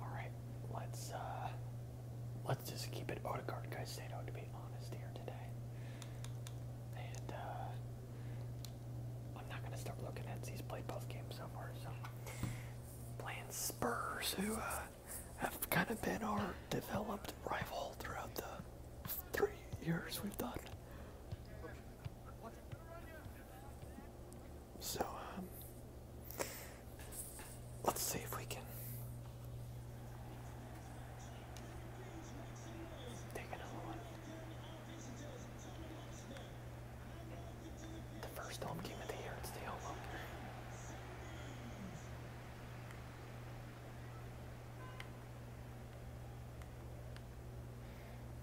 All right, let's uh, let's just keep it Odegaard Caicedo to be honest here today. And uh, I'm not gonna start looking at he's played both games somewhere. far. So playing Spurs, who uh, have kind of been our developed rival throughout the three years we've done. So, um, let's see if we can take another one. The first home game of the year, it's the home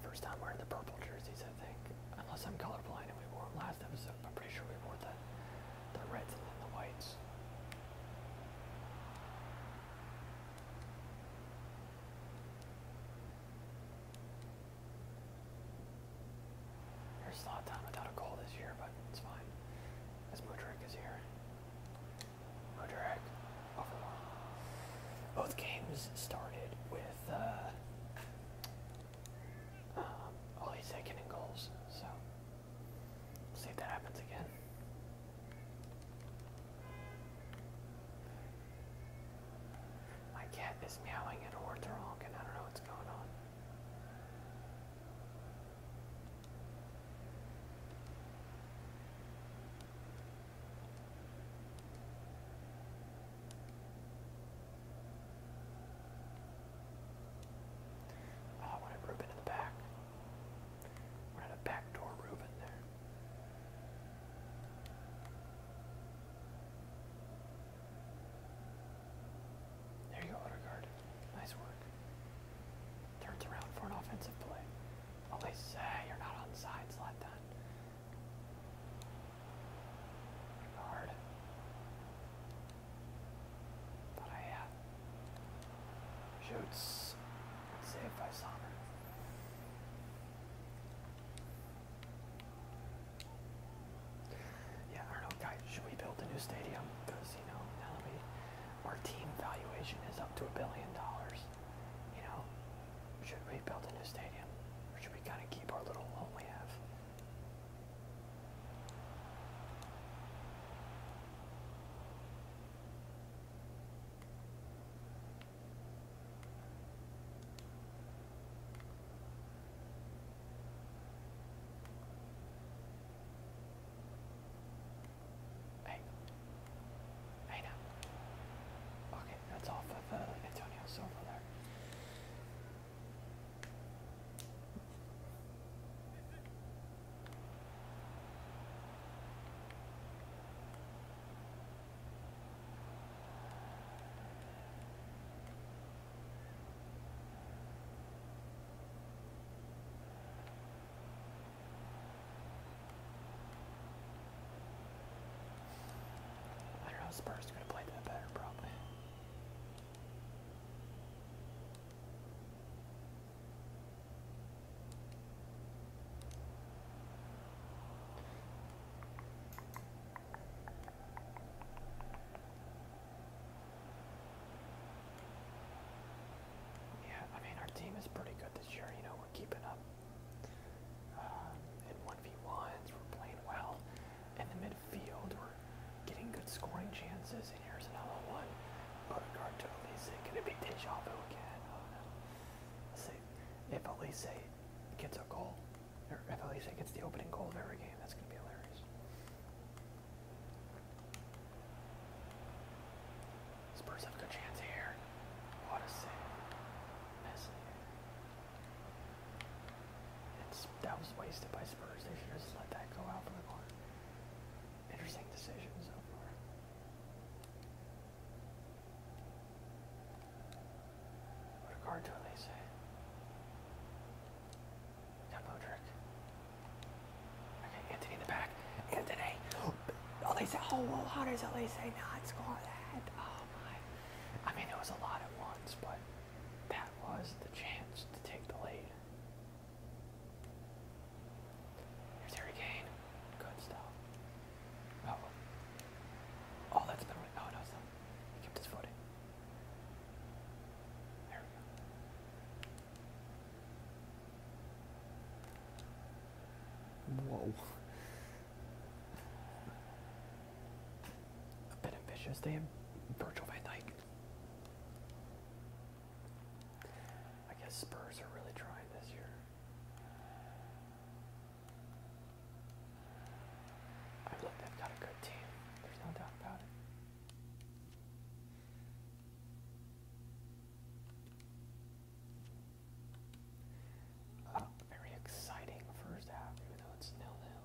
First time wearing the purple jerseys I think. Unless I'm colorblind and we wore them last episode, I'm pretty sure we wore the, the reds and then the whites. Here's a lot of time without a goal this year, but it's fine. As Mudrick is here. Mudrick, Both games started with uh, um, he's second and goals, so we'll see if that happens again. My cat is meowing at a wardrobe I don't know what's going on. Oh, I wanted a backdoor Reuben there. There you go, Odegaard. Nice work. Turns around for an offensive play. At least uh, you're not on sides, Zlatan. Hard. Thought I had. Uh, Shoots. Saved by Sommer. Yeah, I don't know, guys. Should we build a new stadium? Because, you know, now that we, our team valuation is up to a billion dollars. You know, should we build a new stadium? Or should we kind of keep our little one we have? Hey. Hey now. Okay, that's off of uh, Antonio Silva there. I don't know, Spurs could have played that better probably. Yeah, I mean, our team is pretty good this year. You know, we're keeping up um, in 1v1s, we're playing well. In the mid Field, We're getting good scoring chances, and here's another one. guard totally Elise. Could it be deja again? Oh no. If Elise gets a goal, or if Elise gets the opening goal of every game, that's going to be hilarious. Spurs have a good chance here. What a save. Messi that was wasted by Spurs. They should just let that go out for the corner. Interesting decision so far. What a card to Elise. Got eh? Modric. Okay, Anthony in the back. Anthony! Oh, Elise, oh, well, how does Elise not score that? Oh my. I mean, it was a lot at once, but. That was the chance to take the lead. Here's Harry Good stuff. Oh. Oh, that's Oh, no, it's He kept his footing. There we go. Whoa. A bit ambitious. They have Virgil van I guess Spurs are really trying this year. I mean, they've got a good team. There's no doubt about it. very exciting first half, even though it's nil-nil.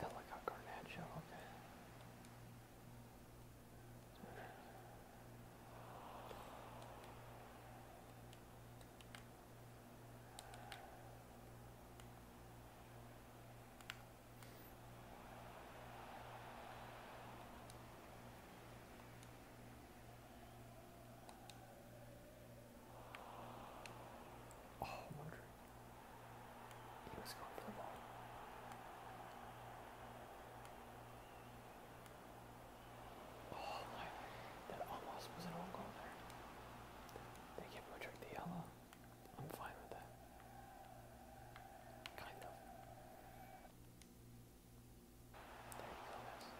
That like a Garnacho, okay. Oh, Rodri. He was going for the ball. Oh my, that almost was an own goal there. They give Rodri the yellow. I'm fine with that. Kind of. There you go, that's it.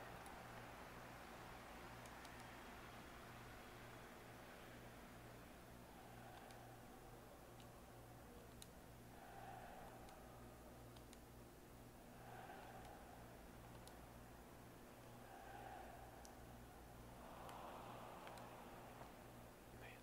Man.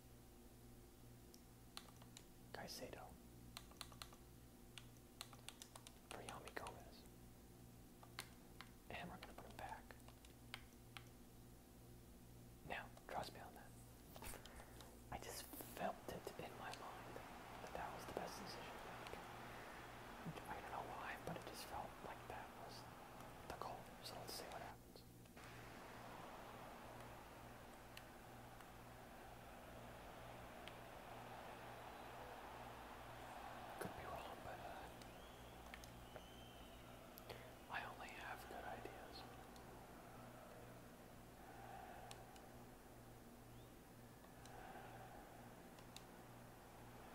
Caicedo for And we're going to put him back. Now, trust me on that. I just felt it in my mind that that was the best decision I don't know why, but it just felt like that was the goal. So let's see what happens. Could be wrong, but uh, I only have good ideas.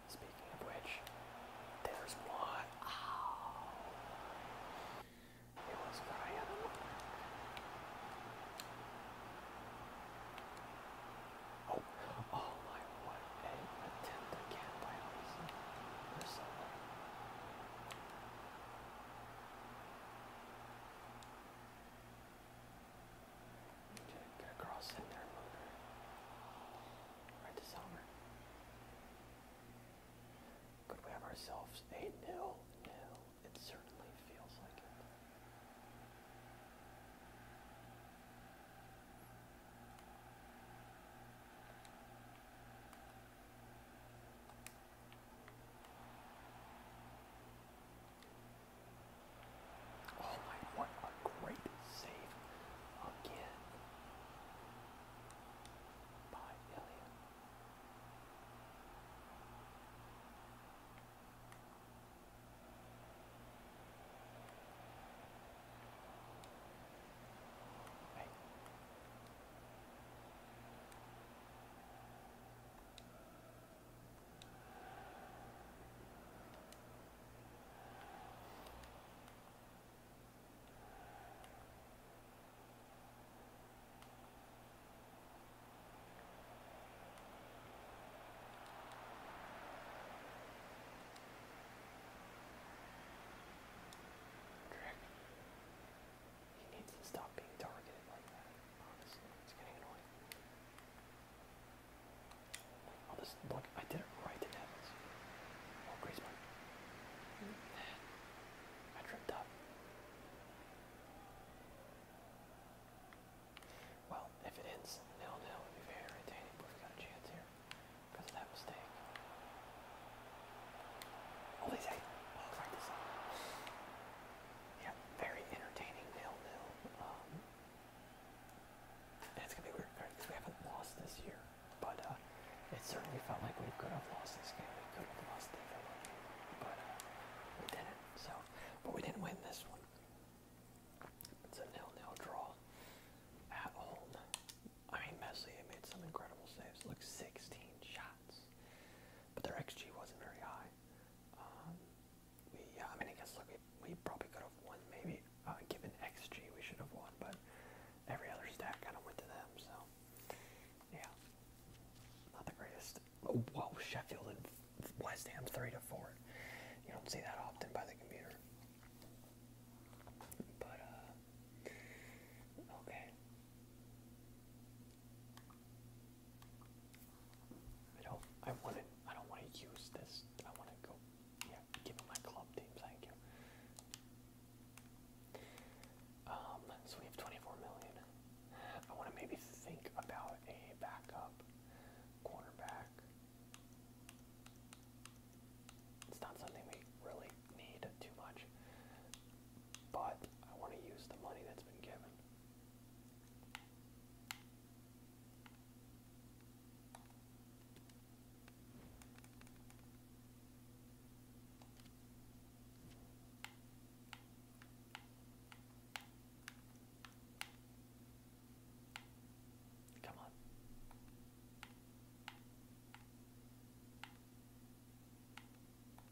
Speaking of which, there's one. Oh. It was not Oh, oh my, what attempt again by Alisa or someone. Okay, get across in there and Right to Summer. Could we have ourselves a nil nil? It certainly feels like it. Oh my, what a great save again by Ilya. Hey. Drake. He needs to stop being targeted like that, honestly. It's getting annoying. Oh, I'll just look, I did it right to Evans. Oh, Griezmann. Mm -hmm. I tripped up. Well, if it ends nil nil, it would be very irritating, but we got a chance here because that mistake. Oh, they Yeah, very entertaining nil nil. Um, it's gonna be weird we haven't lost this year. But uh, it certainly felt like we could have lost this game. We could have lost the Villa game, but uh, we didn't. So, but we didn't win this one. It's a nil-nil draw at home. I mean, Messi made some incredible saves, like 16 shots, but their xG wasn't very high. Um, we, yeah, I mean, I guess look, we, we probably could have won. Maybe uh, given xG, we should have won, but every other stat kind of went to them. So yeah, not the greatest. Oh, whoa, Sheffield and West Ham three to four. You don't see that often by the computer. But uh, okay. I don't. I want to. I don't want to use this. I want to go. Yeah, give my club team. Thank you. Um, so we have 24 million. I want to maybe think about a backup quarterback. It's not something we really need too much, but I want to use the money that's been given. Come on.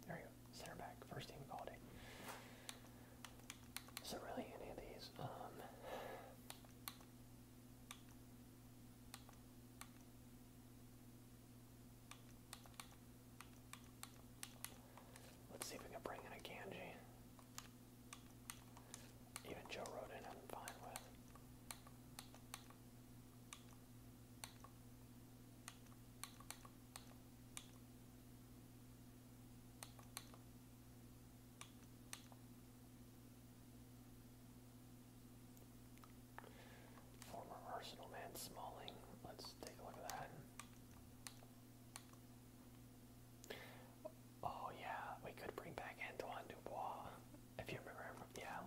There you go. Center back, first team quality. there really any of these, um, Let's see if we can bring in a Ganji. Even Joe Roden, I'm fine with. Former Arsenal man Smalling. Let's take a look at that. Oh yeah, we could bring back Antoine Dubois. If you remember him, yeah.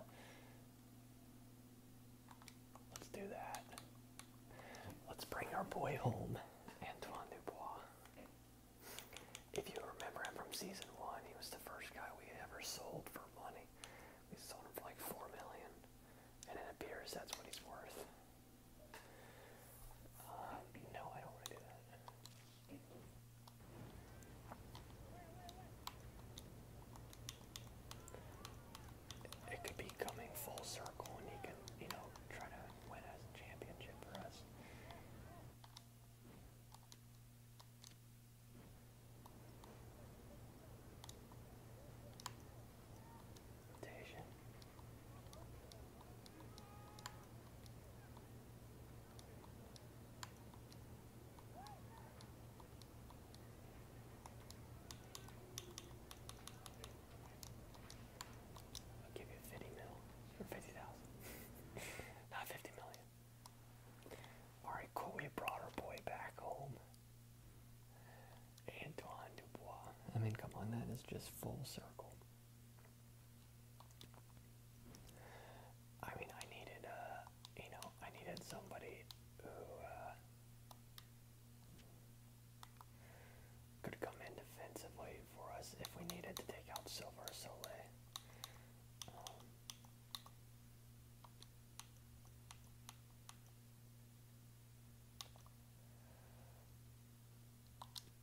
Let's do that. Let's bring our boy home, Antoine Dubois. If you remember him from season one, he was the first guy we ever sold for money. We sold him for like four million, and it appears that's what he's worth. Uh, no, I don't want to do that. It could be coming full circle, and he can, you know, try to win a championship for us. I'll give you 50 mil, for 50,000, not 50 million. Alright, cool, we brought our boy back home. Antoine Dubois. I mean, come on, that is just full circle. I mean, I needed, uh, you know, I needed somebody who uh, could come in defensively for us if we needed to take out Silver Soleil. Um,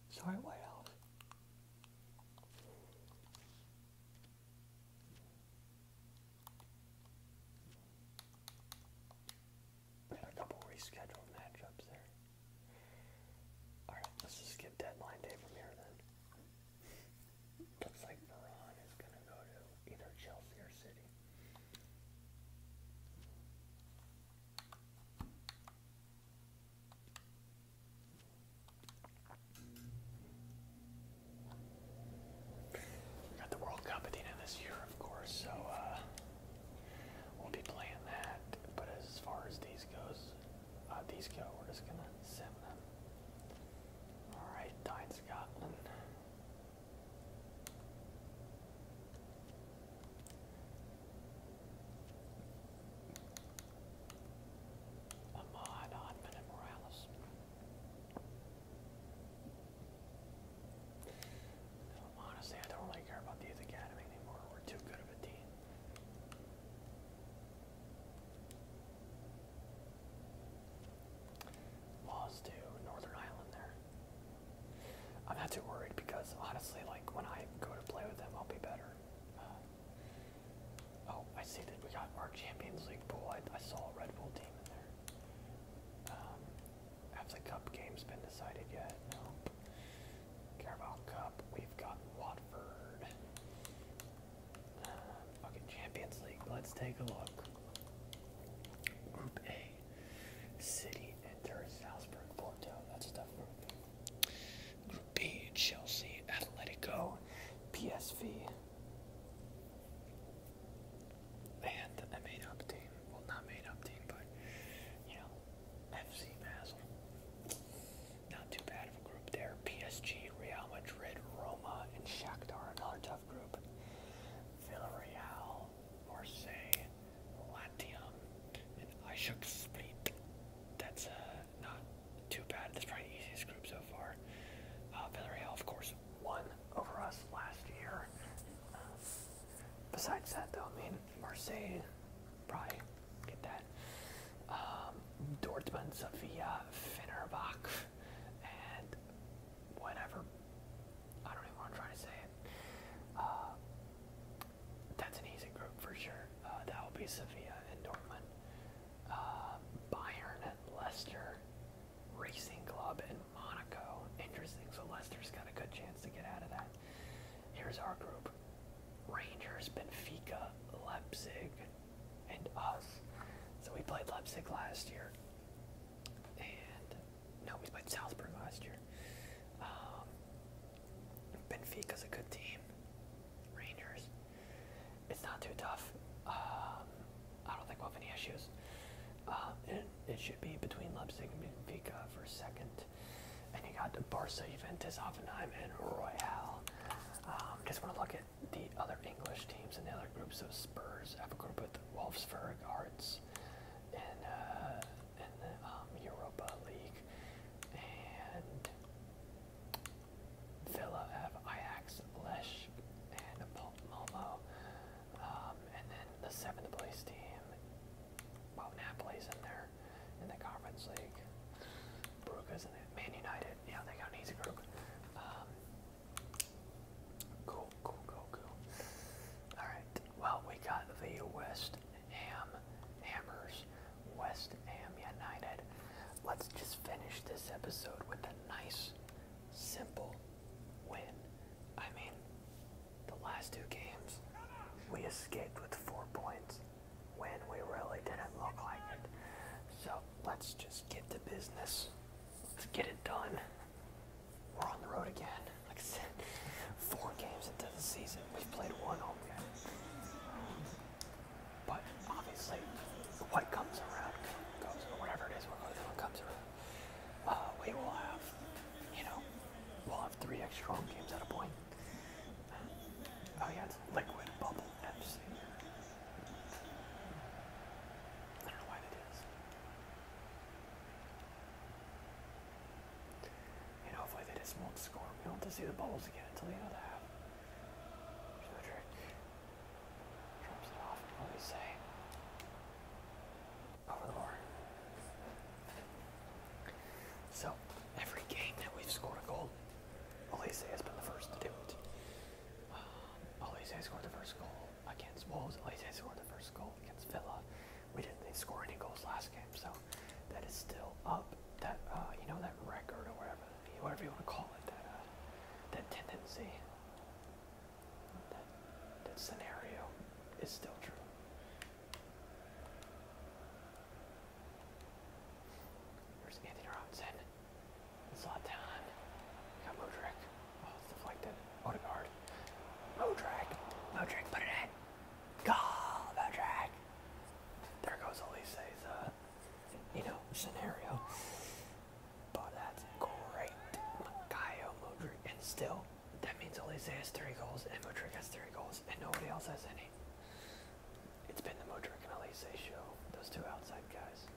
Sorry, what else? We had a couple rescheduled matchups there. Alright, let's just skip deadline day from here then. Looks like Veron is gonna go to either Chelsea or City. We got the World Cup at this year, of course, so uh, we'll be playing that. But as far as these goes, uh, these go, we're just gonna send them. All right, Tyne Scotland. Ahmad Ahmed Morales. No, honestly, I don't really care about the Youth Academy anymore. We're too good of a team lost to Northern Ireland there. I'm not too worried because honestly, like when I go to play with them, I'll be better. Uh, oh, I see that we got our Champions League pool. I, saw a Red Bull team in there. Um, have the Cup games been decided yet? No. Carabao Cup. We've got Watford. Um, Champions League. Let's take a look. Group A. City enter Salzburg, Porto. That's a tough group. Group B, Chelsea, Atletico, PSV. And a made up team. Well, not made up team, but, you know, FC Basel. Not too bad of a group there. PSG, Real Madrid, Roma, and Shakhtar. Another tough group. Villarreal, Marseille, Latium, and Ishuk Split. That's uh, not too bad. That's probably the easiest group so far. Uh, of course, won over us last year. Uh, besides that, though, I mean, Marseille, probably get that. Um, Dortmund, Sevilla, Fenerbahce, and whatever. I don't even want to try to say it. Uh, that's an easy group for sure. Uh, that will be Sevilla and Dortmund, uh, Bayern and Leicester, Racing Club and Monaco. Interesting. So Leicester's got a good chance to get out of that. Here's our group: Rangers, Benfica, Leipzig, and us. So we played Leipzig last year, and no, we played Salzburg last year. Um, Benfica is a good team. Rangers. It's not too tough. Um, I don't think we'll have any issues. Um, it, should be between Leipzig and Benfica for second. And you got Barca, Juventus, Offenheim, and Royale. Um, just want to look at the other English teams and the other groups. So Spurs have a group with Wolfsburg, Hearts, finals in, uh, in the um, Europa League. And Villa have Ajax, Lesh, and Malmo. Um, and then the seventh place team, well, Napoli's in there in the Conference League. Brugge's in it. Man United, yeah, they got an easy group. Um, Cool, cool, cool, cool. All right. Well, we got the West Ham Hammers, West Ham United. Let's just finish this episode with a nice, simple win. I mean, the last two games, we escaped with four points when we really didn't look like it. So let's just get to business. Let's get it done we're on the road again. Like I said, four games into the season, we've played one home game. But obviously, what comes around goes, or whatever it is, what comes around. Uh, we will have, you know, we'll have three extra home games at a point. Oh yeah, Liquid Bubble FC. I don't know why they and hopefully they won't score. We don't have to see the bubbles again until the end half. There's no trick. Drops it off. What do we say? Over the bar. So, every game that we've scored a goal, Olise has been the first to do it. Um, Olise scored the first goal against Wolves. Olise scored the first goal against Villa we didn't score any goals last game, so that is still up. That uh, you know that record or whatever, whatever you want to call it, that uh, that tendency, that, that scenario is still true. There's Anthony Robinson, Zlatan, got Modric. Oh, it's deflected. Odegaard. Modric. Modric, put it in. Goal, Modric. There goes Elise's, uh, you know, scenario. But that's great. Makayo Modric. And still, that means Elise has three goals and Modric has three goals and nobody else has any. It's been the Modric and Elise show. Those two outside guys.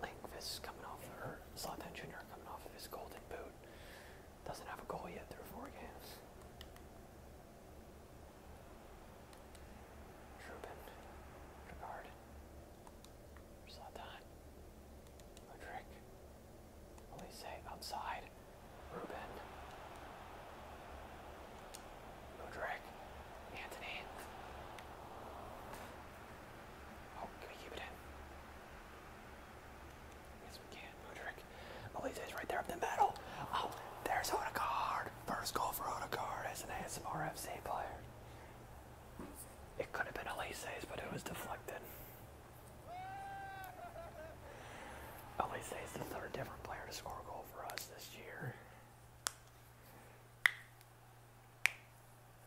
Linkfist coming off of her, Zlatan Jr. coming off his golden boot. Doesn't have a goal yet through four games. Trubin, Regard, Zlatan, Rodrick, Elise outside, Ruben, Rodrick, Anthony. Oh, can we keep it in? Yes, we can. Mudrick. Elise's oh, right there up the middle. Oh, there's Odegaard. First goal for Odegaard as an ASMRFC player. It could have been Elise's, but it was deflected. Elise is the third different player to score a goal for us this year.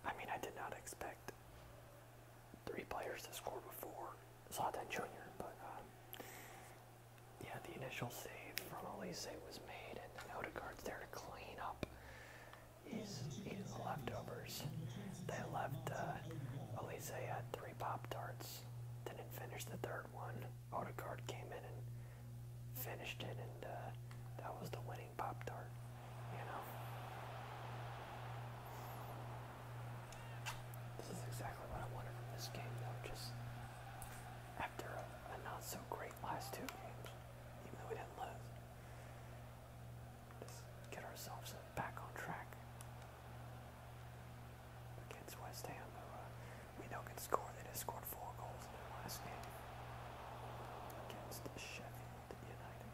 I mean, I did not expect three players to score before Zlatan Jr., but um, yeah, the initial save from Elise was made, and then Odegaard's there to clean up. He's eating the leftovers. They left uh, Elise had three Pop Tarts, didn't finish the third one. Guard came in and finished it, and uh, that was the winning. Pop Tart, This is exactly what I wanted from this game, though, just after a, not so great last two games, even though we didn't lose. get ourselves back on track against West Ham, who uh, we know can score. They just scored four goals in their last game against Sheffield United.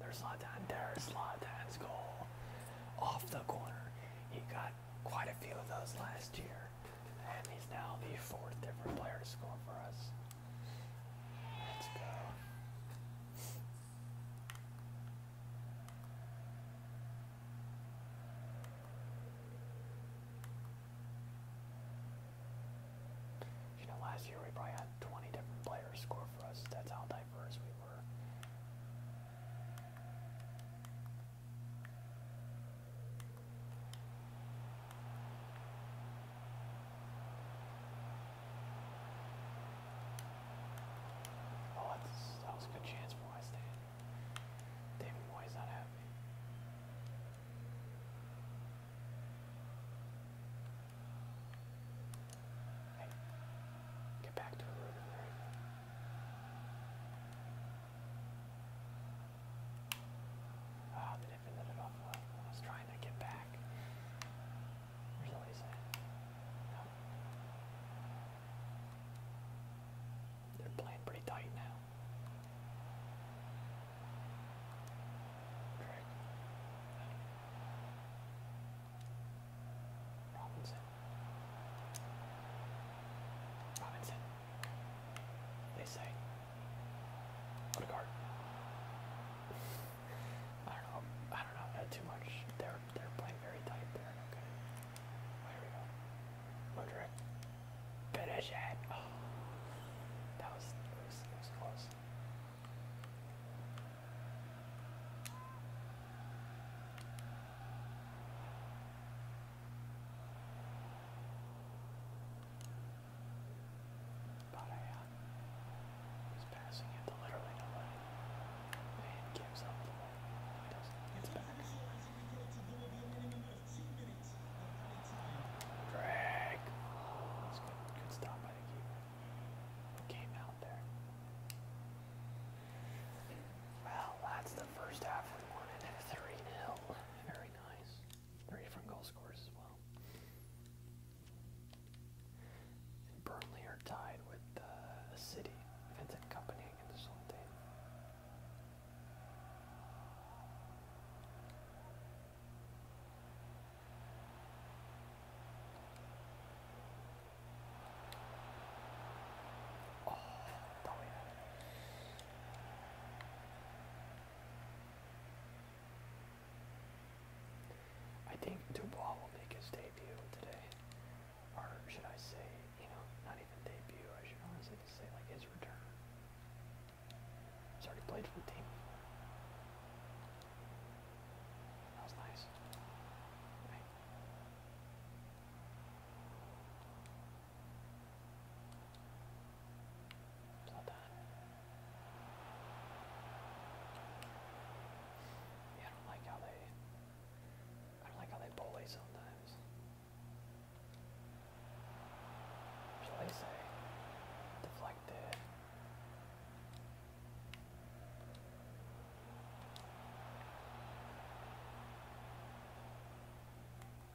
There's Zlatan there. Zlatan's goal off the corner. He got quite a few of those last year, and he's now the fourth different player to score for us. Let's go. You know, last year we probably had 20 different players score for us. That's how diverse we were. Oh, that's, that was a good chance for West Ham. David Moyes not happy get back to the room Ah, they defended it off I was trying to get back. Really is it? They're playing pretty tight now. Trick. Robinson. Robinson. They say. Odegaard. I don't know. I don't know. too much. They're they're playing very tight there. Okay. Well, we go. Mudrick. Finish oh. it. That was it was, it was close. But I uh, was passing it to literally nobody. And gives up the ball. No, he doesn't. It's back. Drag. That's good. Good stop by the keeper. Came out. Well, that's the first half. We won it at 3 nil. Very nice. Three different goal scores as well. And Burnley are tied with uh, City, Vincent Company against Sultan. Oh, damn it. I think Dubois will make his debut today, or should I say, you know, not even debut, I should honestly just say like his return. He's already played for the team that was nice. I don't like how they I don't like how they bully sometimes. Shall I say deflected?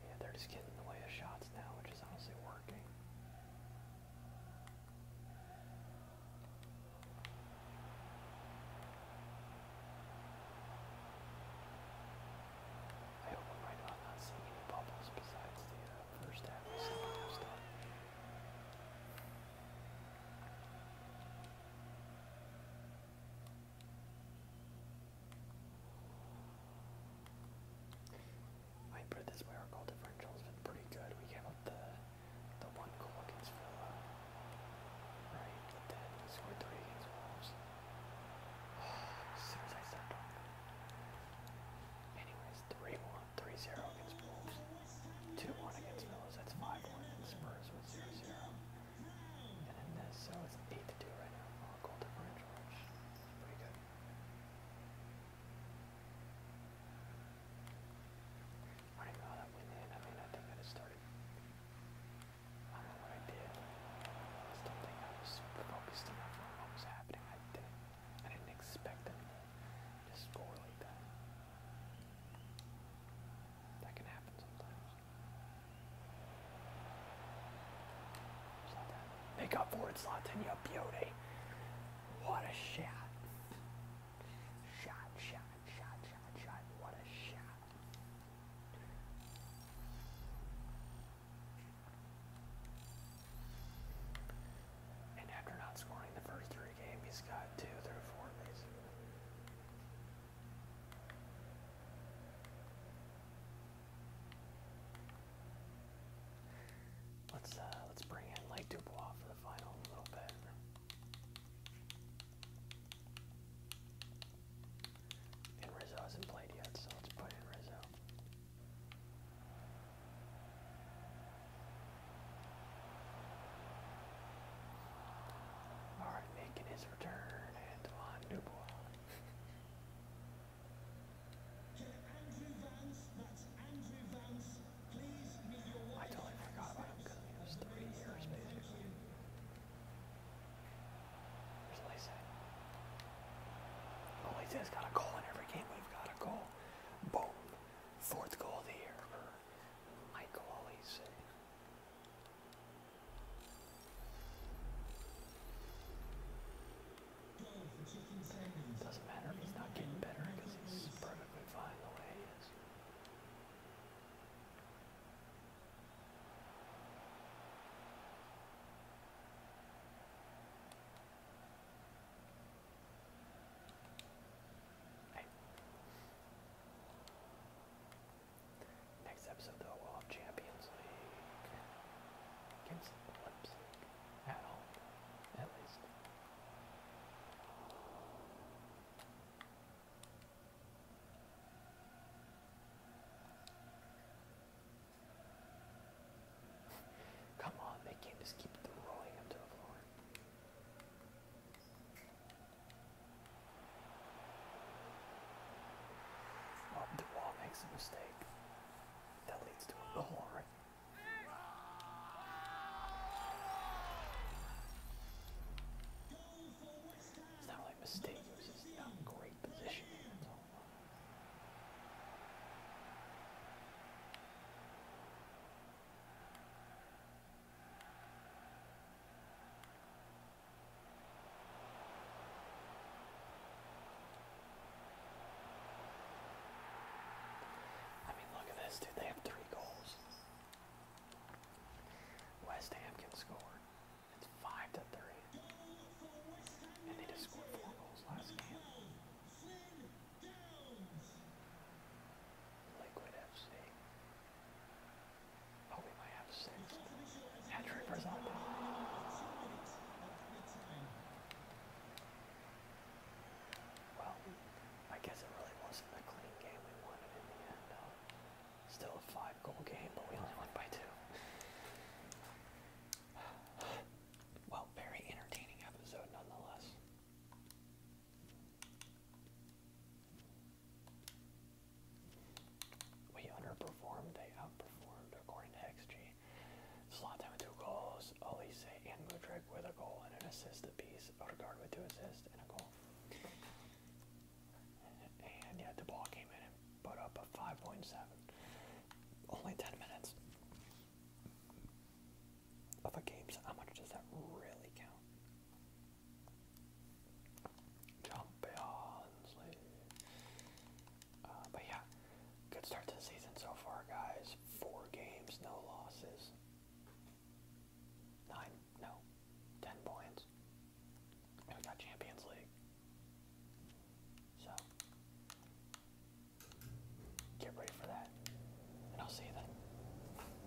Yeah, they're just getting in the way of shots now, which is honestly working. I hope I'm not seeing bubbles besides the uh, first half Hyper this miracle differential's been pretty good. We came up the the one goal against Villa. Right, scored three against Wolves. as soon as I start Anyways, three more. 3 0 against Wolves, 2 1 against Mills, that's 5 1, and Spurs with 0 0. And then this, so it's 8 2 right now, on goal differential, pretty good. I don't know that went in. I mean, I think I just started. I don't know I did. think I was super focused on what was happening. I didn't. I didn't expect them to score like that. That can happen sometimes. Just like that. Make up for it, Zlatan, you beauty. What a shot. Shot, shot, shot, shot, shot. What a shot. And after not scoring the first three games, he's got two through four, basically. Let's uh, let's bring in Lake Dubois for the final a little bit. And Rizzo hasn't played yet, so let's put in Rizzo. All right, making his return, Antoine Dubois. I totally forgot about him because he three years basically. Where's Lacey? Oh, Lacey's got a goal in every game. We've got a goal. Boom. Fourth goal of the year. Michael Oleson. Doesn't matter if he's not getting better because he's perfectly fine the way he is. Next episode, though, we'll have Champions League against Leipzig at home, at least. Come on, they can't just keep throwing him to the floor the wall makes a mistake. That leads to a goal, right? It's not mistake, it was just not great positioning. I mean, look at this, dude. They have three goals. West Ham can score. It's five to three, and they just scored four goals last game. Liquid FC. Oh, well, I guess it really wasn't a clean game we won it in the end. still a five-goal game, but we only won by two. Well, very entertaining episode nonetheless. We underperformed, they outperformed according to XG. Zlatan with two goals, Olise and Mudrik with a goal and an assist the apiece, Odegaard with two assists and a goal. And yeah, the ball came in and put up a 5.7. Only 10 minutes of a game, so how much does that really count? Champions League. but yeah, good start to the season so far, guys. Four games, no losses. Nine, no, ten points. we got Champions League. So, get ready for that. And I'll see you then.